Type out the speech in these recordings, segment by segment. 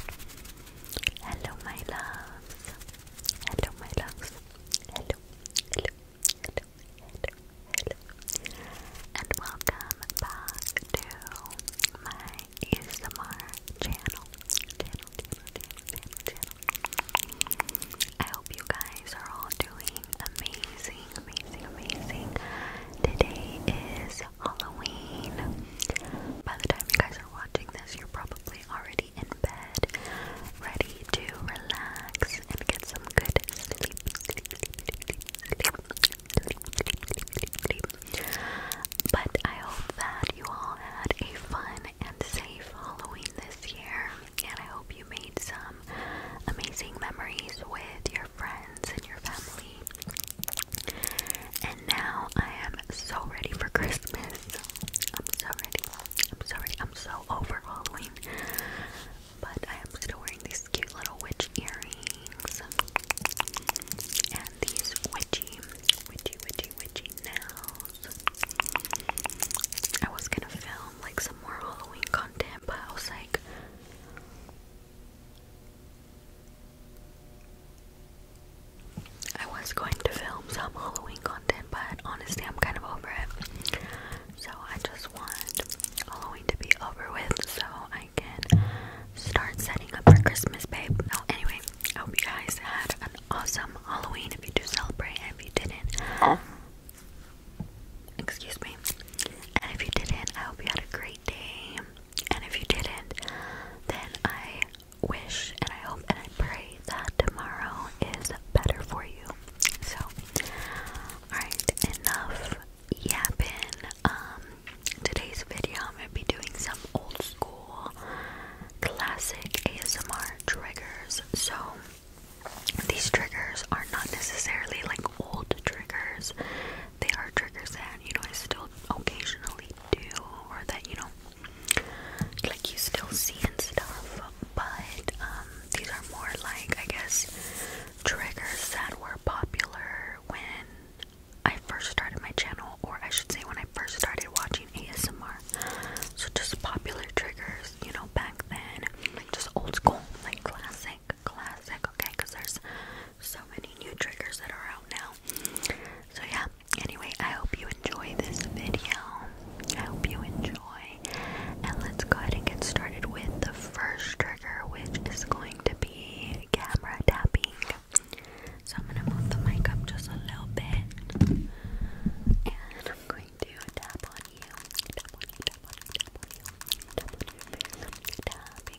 Hello, my loves. Hello, my loves. Hello, hello, hello, hello, hello. And welcome back to my ASMR channel. I hope you guys are all doing amazing, amazing, amazing. Today is Halloween. By the time you guys are watching this, you're probably already in bed, ready to relax and get some good sleep. But I hope that you all had a fun and safe Halloween this year, and I hope you made some amazing memories with your friends and your family. And now I am so ready for Christmas. I'm so ready. I'm so I'm so over Halloween. But I am still wearing these cute little witch earrings. And these witchy, witchy, witchy, witchy nails. I was gonna film like some more Halloween content, but I was like, I was going to film some Halloween content, but honestly, I'm kind of over it. So I just want Halloween to be over with so I can start setting up for Christmas, babe. anyway, I hope you guys had an awesome Halloween if you do celebrate, and if you didn't, excuse me. And if you didn't, I hope you had a great day. And if you didn't, then I wish and I hope and I pray that tomorrow is better for you. So, alright, enough yapping. Um, today's video I'm gonna be doing some old school classic ASMR triggers. So, these triggers are not necessarily like old triggers, they are triggers that you know I still occasionally do or that you know like you still see and stuff but um these are more like I guess triggers that were popular when I first started my channel or I should say when I first started watching ASMR so just popular triggers you know back then like just old school like classic classic okay because there's so many new triggers that are out now so yeah, anyway, I hope you enjoy this video. I hope you enjoy. And let's go ahead and get started with the first trigger, which is going to be camera tapping. So I'm gonna move the mic up just a little bit. And I'm going to tap on you. Tap on you, tap on you, tap on you. Tap on you. Tap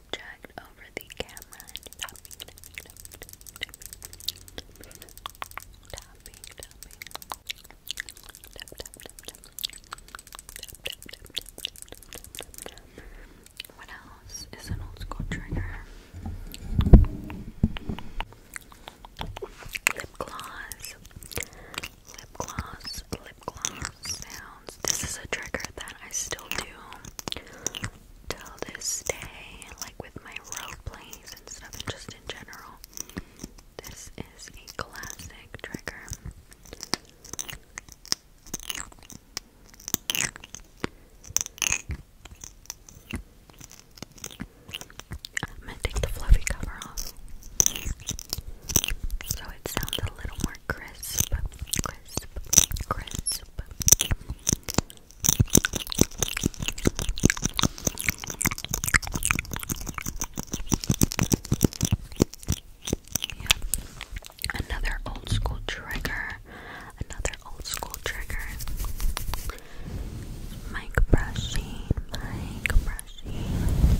object over the camera and tapping, What else is an old school trigger? Lip gloss, lip gloss, lip gloss sounds. This is a trigger that I still do till this day, like with my role plays and stuff, and just in general. This is a classic trigger. I'm gonna take the fluffy cover off so it sounds a little more crisp, crisp, crisp. Another old school trigger. Another old school trigger. Mic brushing, mic brushing,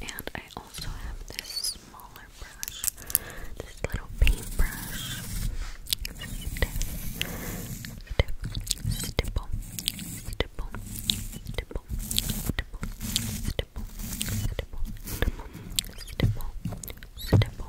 And I also have this smaller brush, this little paintbrush. Stiff, stiff, stipple, stipple, stipple, stipple, stipple, stipple, stipple, stipple, stipple,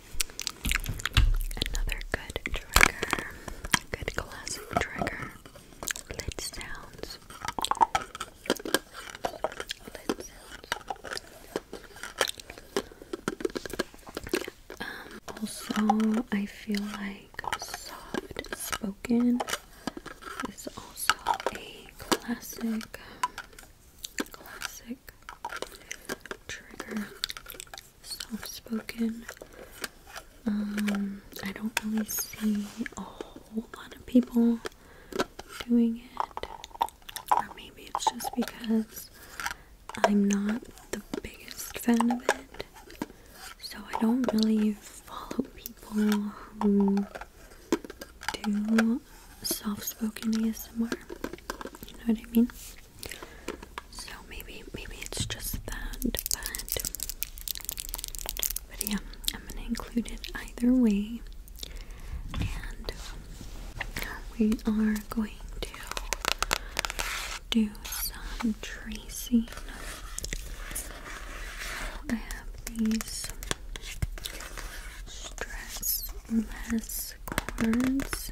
Another good trigger, good classic trigger. Lid sounds. Lid sounds. Um, also, I feel like soft spoken is also a classic, classic trigger soft spoken. Um, I don't really see a whole lot of people doing it, or maybe it's just because I'm not the biggest fan of it, so I don't really follow people who do soft spoken ASMR. You know what I mean? So maybe maybe it's just that, but but yeah, I'm gonna include it either way. And um, we are going to do some tracing. I have these stressless cords.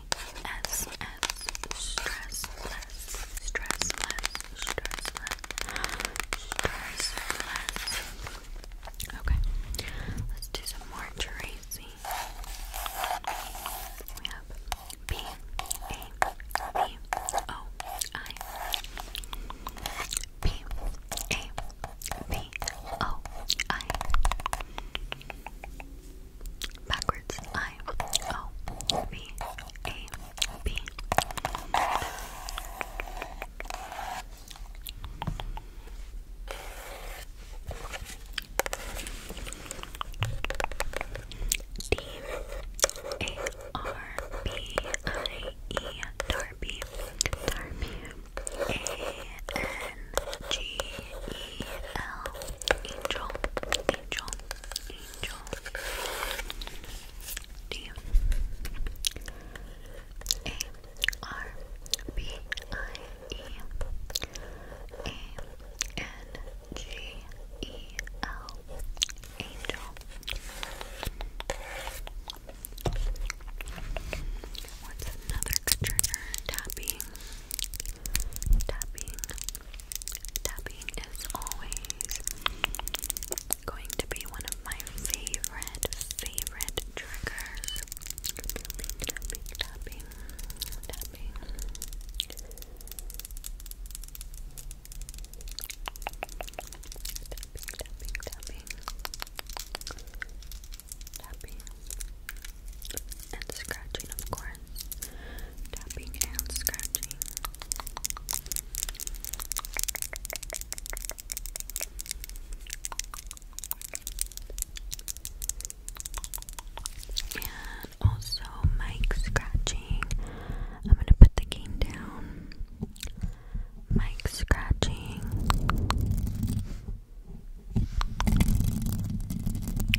S S stress less stress less stress less stress less. Okay, let's do some more Tracy. We have B A B O I B A B O I backwards I O V A B. D A R B I E Darby Darby A N G E L Angel Angel Angel D A R B I E A N G E L Angel What's another good trigger? Tapping Tapping Tapping is always going to be one of my favorite, favorite triggers. Tapping, tapping, tapping, tapping, tapping, tapping, and scratching, of course tapping and scratching. And also mic scratching. I'm gonna put the game down. Mic scratching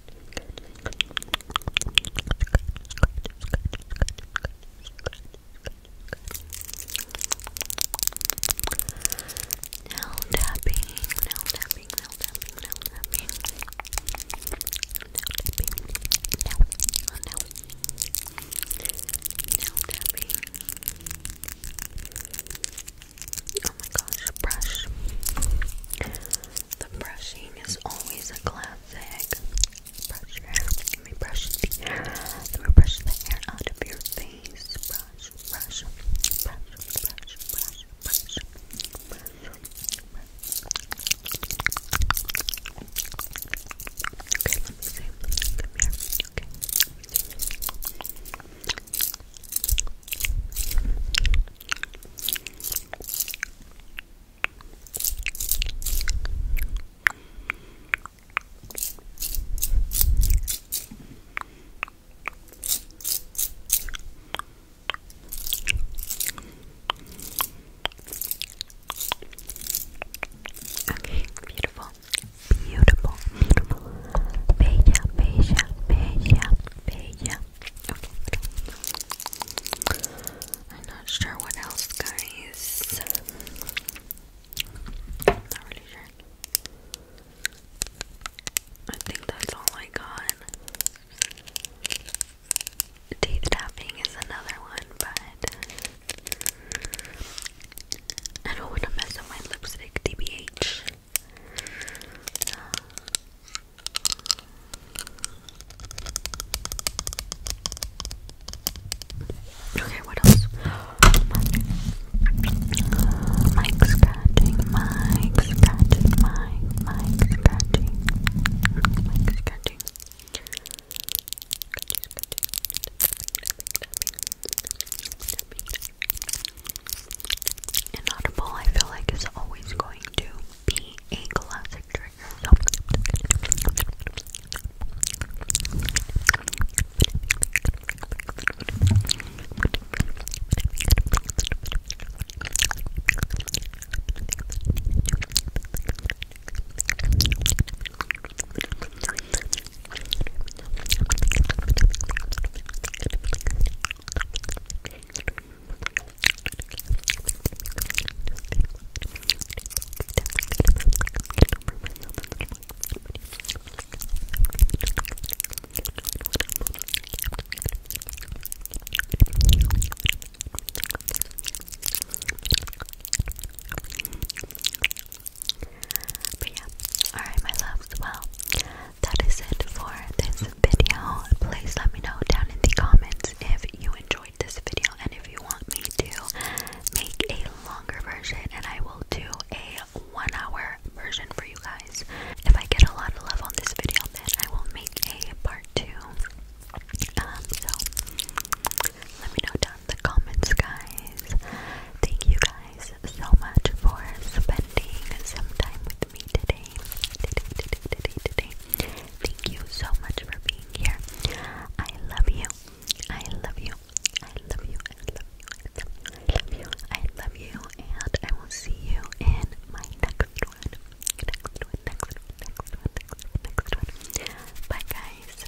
Nail tapping, nail tapping, nail tapping, nail tapping. Nail tapping. No, oh no. Nail tapping. Oh my gosh, brush. The brushing is always a classic. Brush Let me brush the Let me brush the hair out of your face. Brush, brush, brush, brush, brush, brush, brush. Okay, let me see. Come here. Okay. Okay, beautiful, beautiful, beautiful. Bella, bella, bella, bella, I'm not sure what else, guys. i not really sure. I think that's all I got. Teeth tapping is another one, but I don't want to mess up my lipstick, TBH. Okay, what else? Mike scratching, Mike scratching, Mike, scratching, Inaudible, I feel like, is always going to be a classic trigger. But yeah, alright, my loves. Well, that is it for this video. Please let me know down in the comments if you enjoyed this video and if you want me to make a longer version and I will do a one hour version for you guys. If I get a lot of love on this video then I will make a part two. Um, so let me know down in the comments guys. Thank you guys guys so much for spending some time with me today. Thank you so much for being here. I love you. I love you. I love you. I love you. I love you. I love you. And I will see you in my next one. Next one, next one, next one, next one, next one. Bye, guys.